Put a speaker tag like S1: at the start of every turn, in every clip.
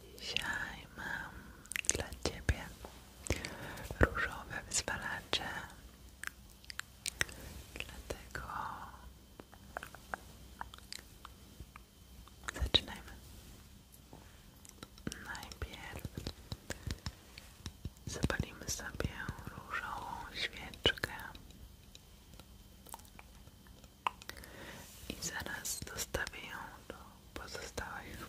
S1: Dzisiaj mam dla Ciebie różowe wyzwalacze, dlatego zaczynajmy. Najpierw Zapalimy sobie różową świeczkę i zaraz dostawię ją do pozostałych.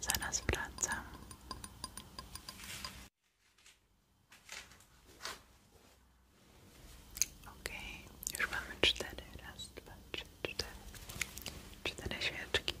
S1: Zaraz wracam. Okej, okay, już mamy cztery. Raz, dwa, trzy, cztery. Cztery świeczki.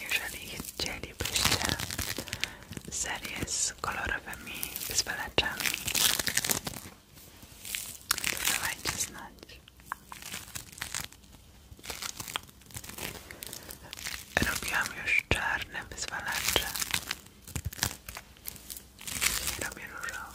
S1: jeżeli chcielibyście serię z kolorowymi wyzwalaczami to dawajcie znać robiłam już czarne wyzwalacze robię różowe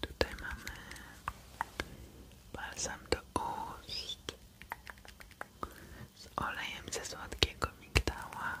S1: Tutaj mamy balsam do ust z olejem ze słodkiego migdała.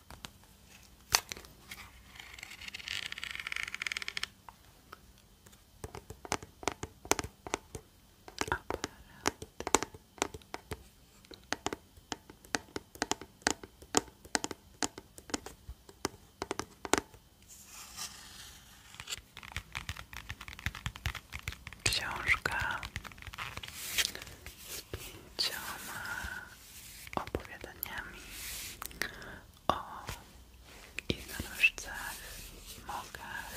S1: Książka z pięciu pięcioma opowiadaniami o jednorożcach, mokach,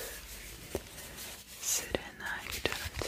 S1: syrenach i czarodziejach.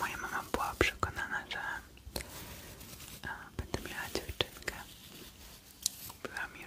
S1: Moja mama była przekonana, że e, będę miała dziewczynkę. Kupiła mi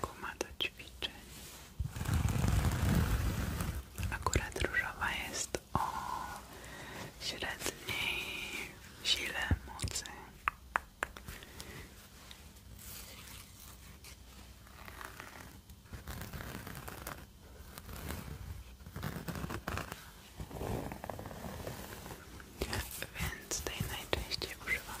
S1: Guma do ćwiczeń. Akurat różowa jest o średniej sile mocy. Więc tej najczęściej używam.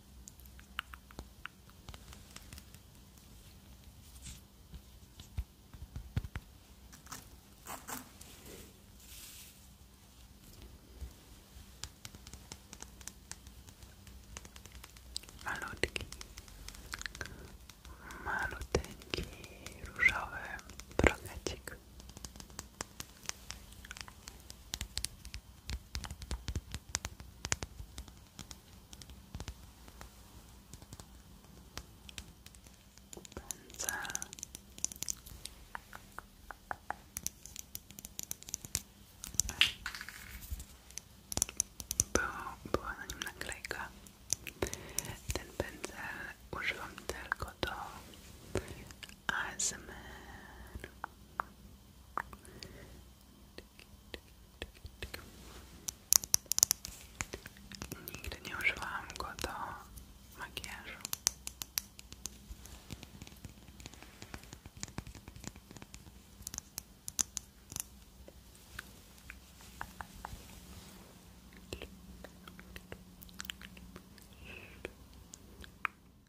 S1: Malutki, maluteńki różowy brunecik Pędzel. Było, była na nim naklejka. Ten pędzel używam tylko do Nigdy nie używałam go do makijażu.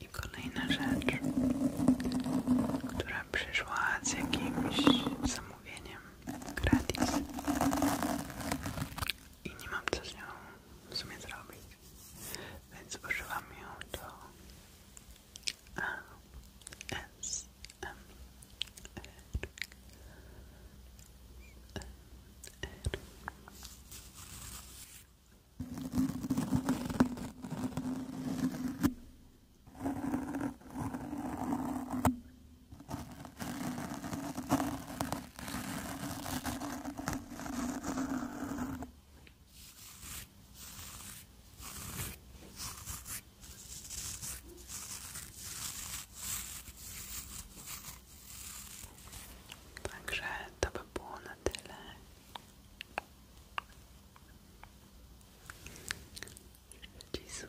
S1: I kolejna rzecz, która przyszła z jakimś zamówieniem gratis i nie mam co z nią w zrobić, więc używam ją do ASMR. E, Dziękuję Także to by było na tyle. Życzę Ci